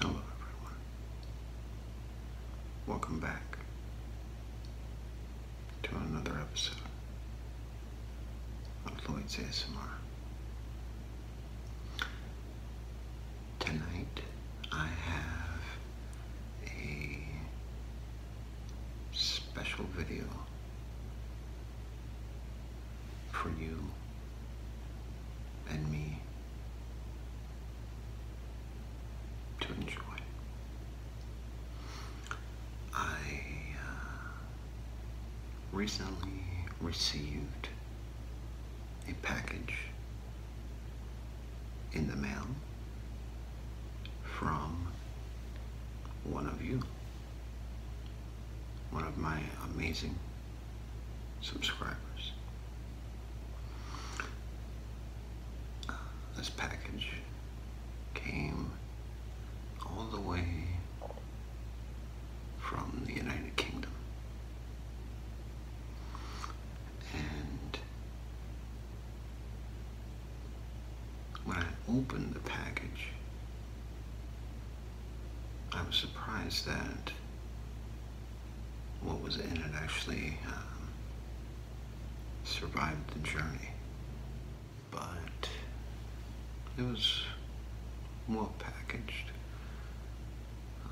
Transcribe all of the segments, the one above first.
Hello, everyone. Welcome back to another episode of Lloyd's ASMR. Tonight, I have a special video for you and me to enjoy. I uh, recently received a package in the mail from one of you, one of my amazing subscribers. Uh, this package came all the way from the United Kingdom. And when I opened the package, I was surprised that what was in it actually um, survived the journey. But it was well packaged. Um,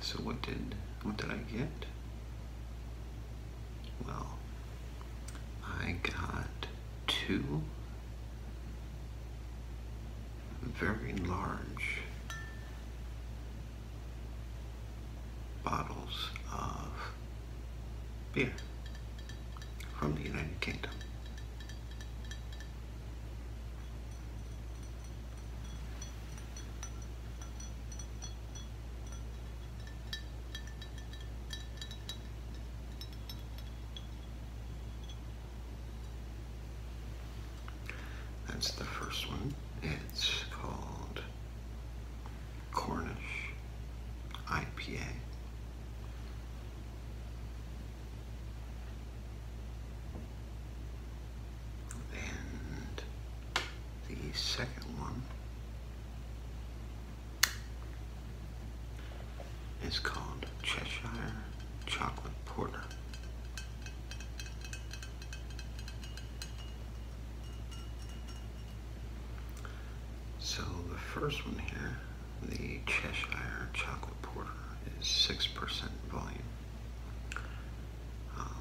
so what did what did I get? Well, I got two. Very large bottles of beer from the United Kingdom. That's the first one. It's called Cornish IPA. And the second one is called Cheshire Chocolate Porter. So the first one here, the Cheshire Chocolate Porter, is 6% volume. Um,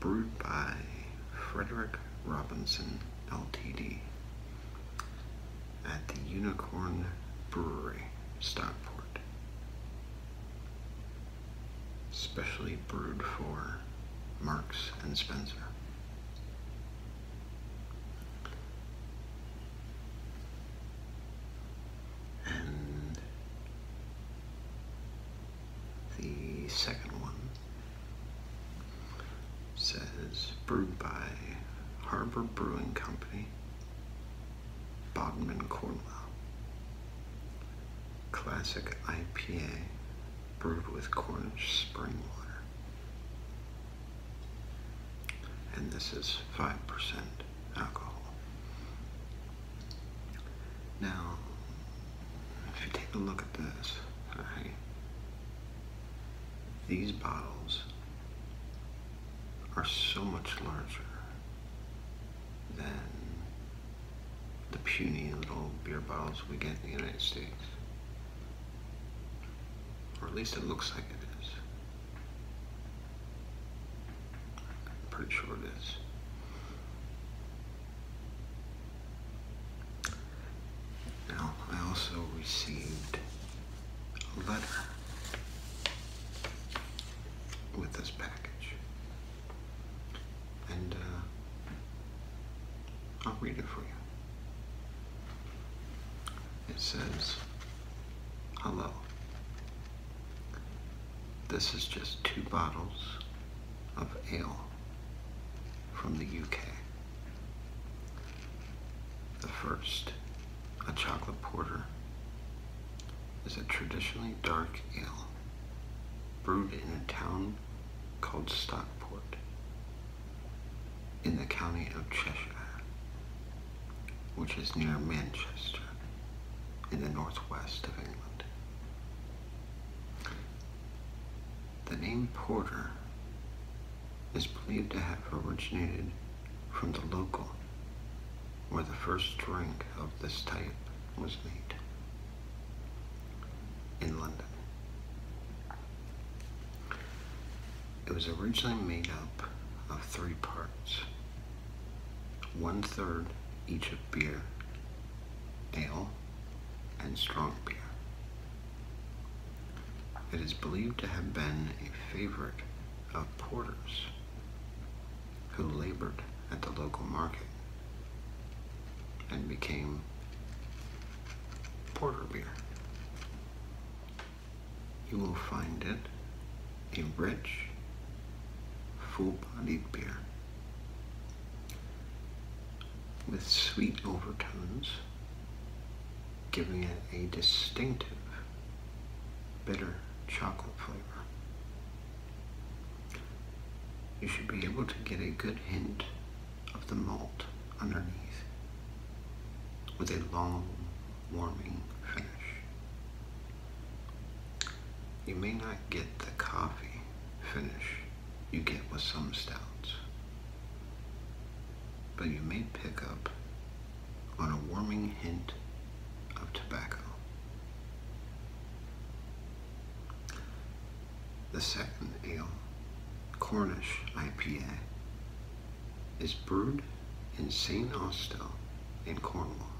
brewed by Frederick Robinson LTD at the Unicorn Brewery, Stockport. Specially brewed for Marks and Spencer. And the second one says brewed by Harbor Brewing Company, Bodmin, Cornwall. Classic IPA brewed with Cornish spring water. And this is 5% alcohol. Now, if you take a look at this, I these bottles are so much larger than the puny little beer bottles we get in the United States. Or at least it looks like it is. I'm pretty sure it is. Now, I also received a letter with this package, and uh, I'll read it for you. It says, Hello. This is just two bottles of ale from the UK. The first, a chocolate porter, is a traditionally dark ale brewed in a town called Stockport in the county of Cheshire, which is near Manchester in the northwest of England. The name Porter is believed to have originated from the local, where the first drink of this type was made in London. It was originally made up of three parts, one third each of beer, ale, and strong beer. It is believed to have been a favorite of porters who labored at the local market and became porter beer. You will find it a rich, full-bodied beer with sweet overtones giving it a distinctive bitter chocolate flavor. You should be able to get a good hint of the malt underneath with a long, warming finish. You may not get the coffee finish you get with some stouts but you may pick up on a warming hint of tobacco. The second ale, Cornish IPA, is brewed in St. Austell in Cornwall.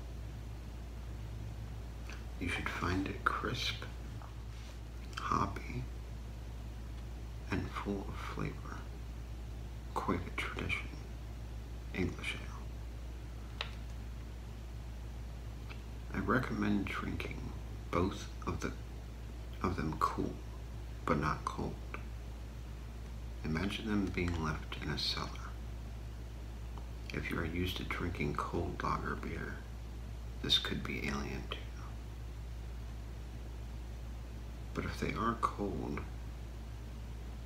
You should find it crisp hoppy, and full of flavor. quite a tradition English ale. I recommend drinking both of them cool, but not cold. Imagine them being left in a cellar. If you are used to drinking cold lager beer, this could be alien too. But if they are cold,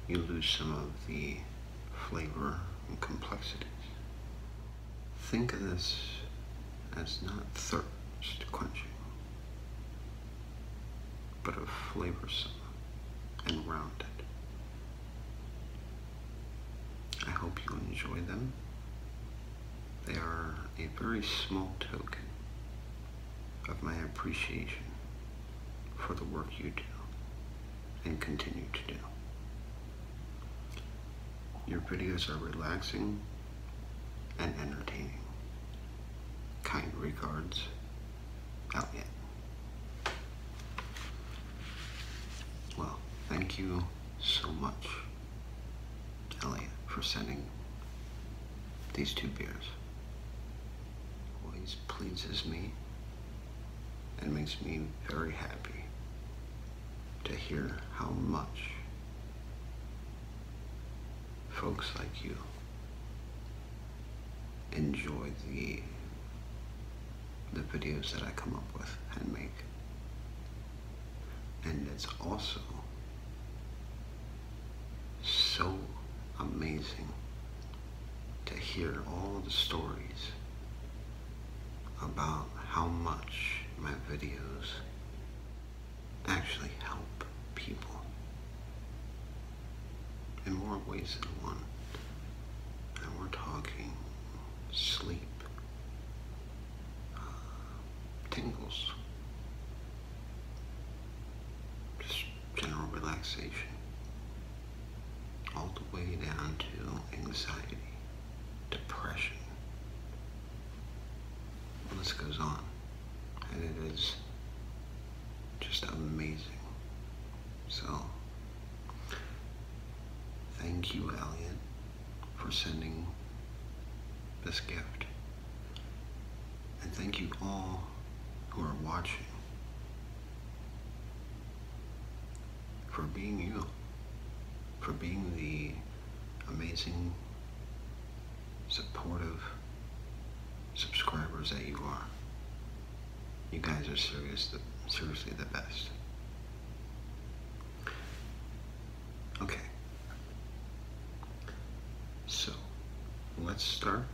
you lose some of the flavor and complexities. Think of this as not thirst quenching, but of flavorsome and rounded. I hope you enjoy them. They are a very small token of my appreciation for the work you do and continue to do. Your videos are relaxing and entertaining. Kind regards, Elliot. Well, thank you so much. Elliot for sending these two beers. Always pleases me and makes me very happy to hear how much folks like you enjoy the the videos that I come up with and make and it's also so amazing to hear all the stories about how much my videos actually help people in more ways than one. And we're talking sleep, tingles, just general relaxation, all the way down to anxiety, depression. This goes on, and it is just amazing. So, thank you, Elliot for sending this gift. And thank you all who are watching for being you, for being the amazing, supportive subscribers that you are. You guys are serious, seriously the best. Okay. So let's start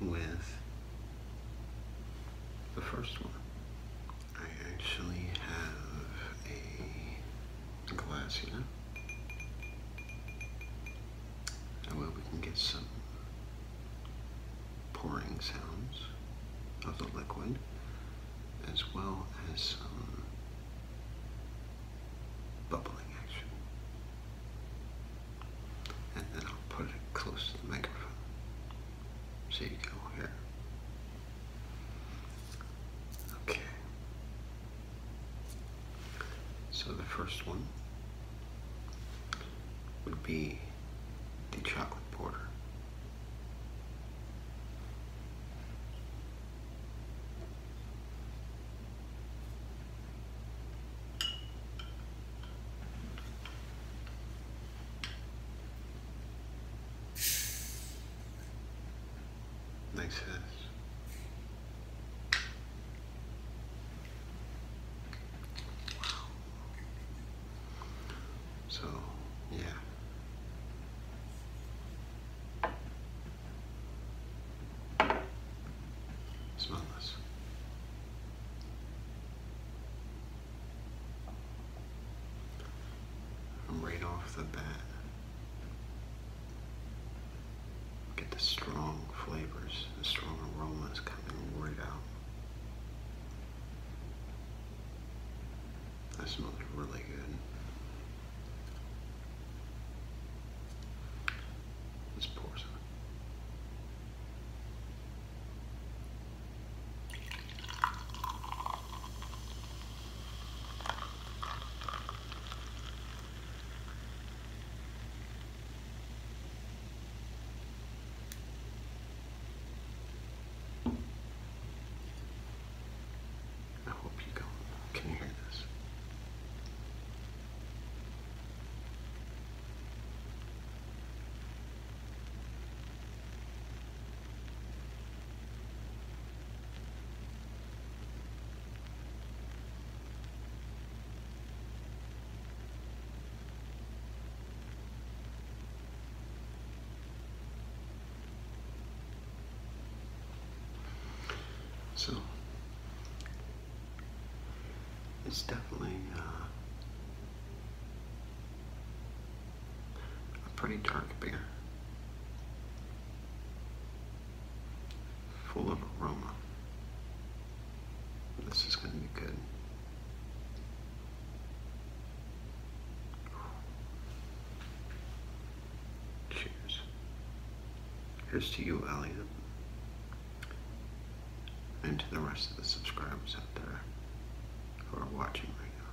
with the first one. I actually have a glass here. and way we can get some pouring sounds of the liquid as well as some um, bubbling action. And then I'll put it close to the microphone so you can all hear. Okay. So the first one would be the chocolate porter. Makes So, yeah. Smell this. Right off the bat, get the strong flavors, the strong aromas coming right out. That smells really good. Let's pour some. I hope you can, can hear this. So it's definitely uh, a pretty dark beer, full of aroma. This is going to be good. Cheers. Here's to you, Elliot, and to the rest of the subscribers out there who are watching right now.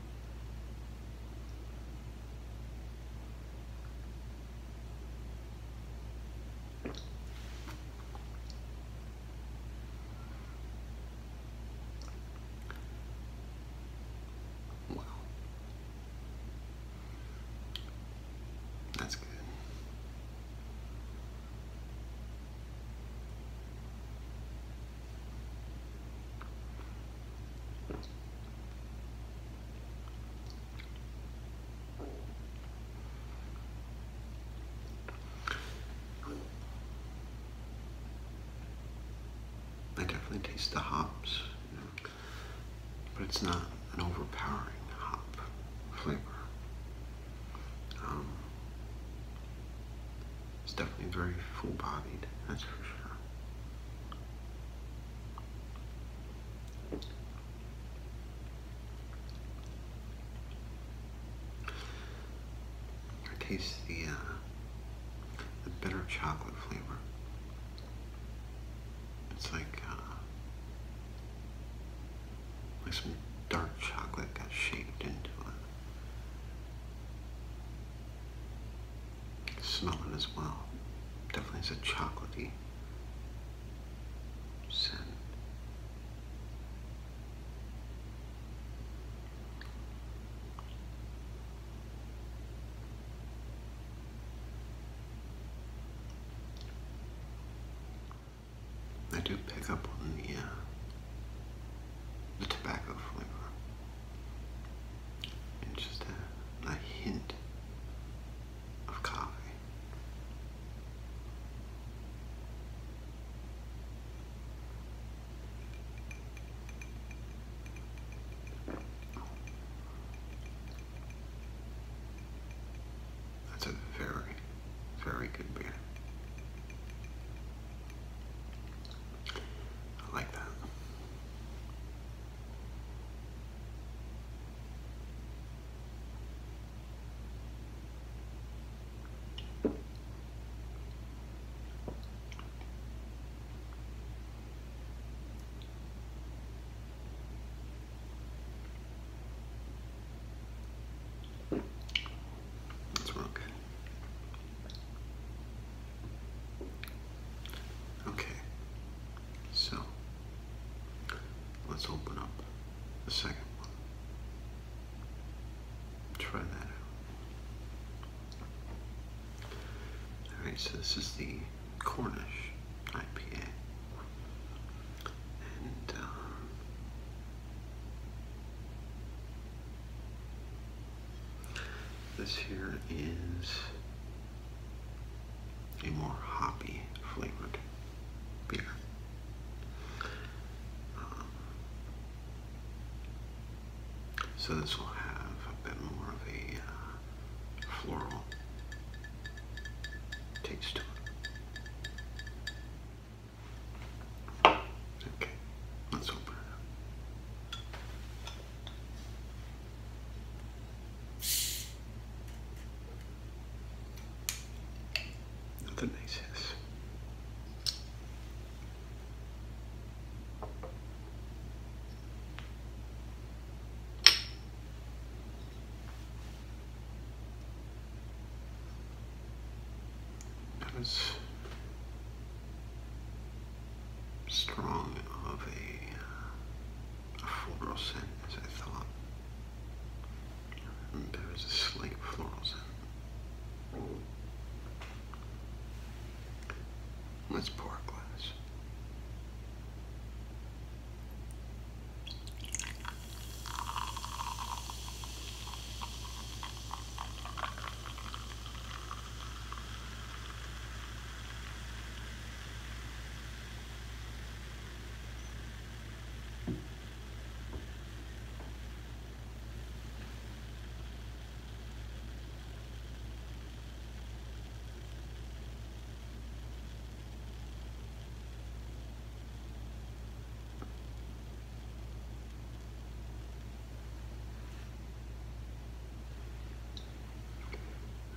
Wow. That's good. I definitely taste the hops, but it's not an overpowering hop flavor. Um, it's definitely very full-bodied, that's for sure. I taste the uh, the bitter chocolate flavor. It's like uh, like some dark chocolate got shaped into it. Smelling as well. Definitely is a chocolaty scent. I do pick up on the, uh, the tobacco flavor. And just a hint of coffee. That's a very, very good beer. I like that. That's real Okay, so let's open up the second one. Try that Alright, so this is the Cornish IPA. And, um, this here is a more hoppy flavored beer. Um, so this will have a bit more of a uh, floral taste Okay, let's open it up if that makes sense. As strong of a, a scent as I thought. There is a slight floral scent. Let's pour a glass.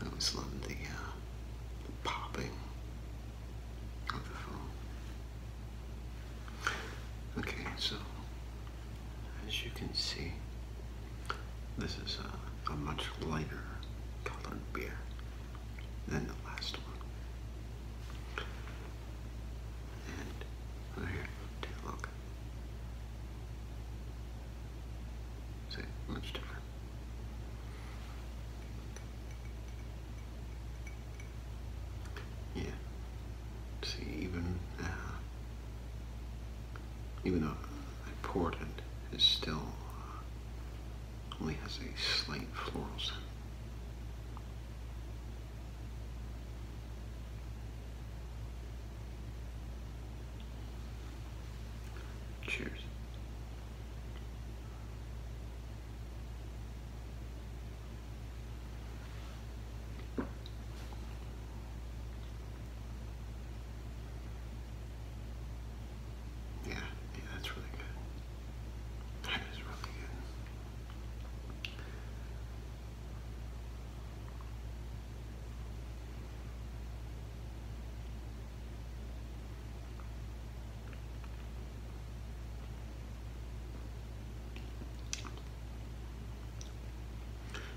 I always love the popping Okay, so as you can see, this is a, much lighter colored beer than the last one. And here, take a look. See, much different. Yeah. See, even uh, even though that portent is still uh, only has a slight floral scent. Cheers. Yeah, yeah, that's really good. That is really good.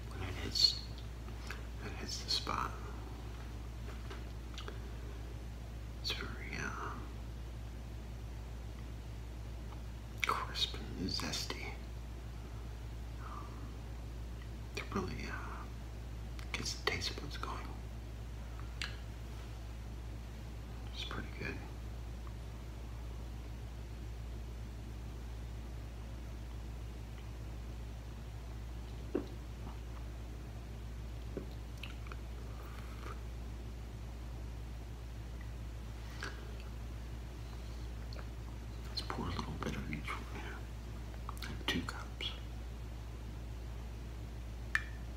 When it hits, it hits the spot. It's very uh, crisp and zesty. Um, it really uh, gets the taste of going. It's pretty good. Let's pour a little bit of each one here. Two cups.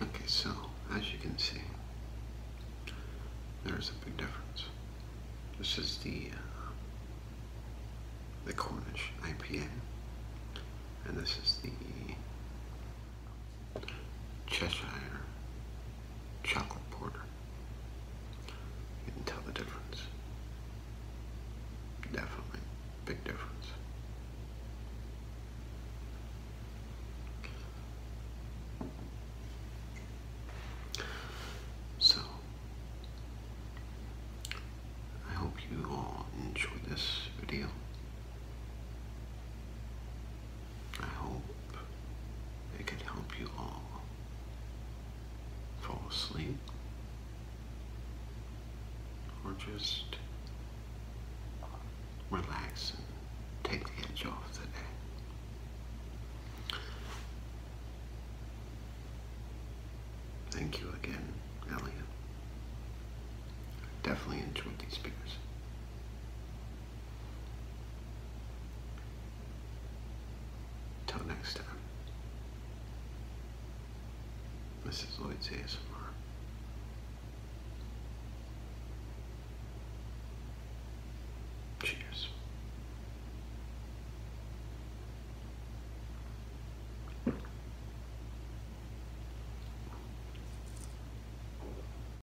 Okay, so as you can see, there's a big difference. This is the uh, the Cornish IPA, and this is the Cheshire chocolate porter. You can tell the difference. Definitely. Big difference. So, I hope you all enjoy this video. I hope it can help you all fall asleep or just relax and take the edge off the day. Thank you again, Elliot. definitely enjoyed these pictures. Till next time, this is Lloyd's ASMR. Cheers.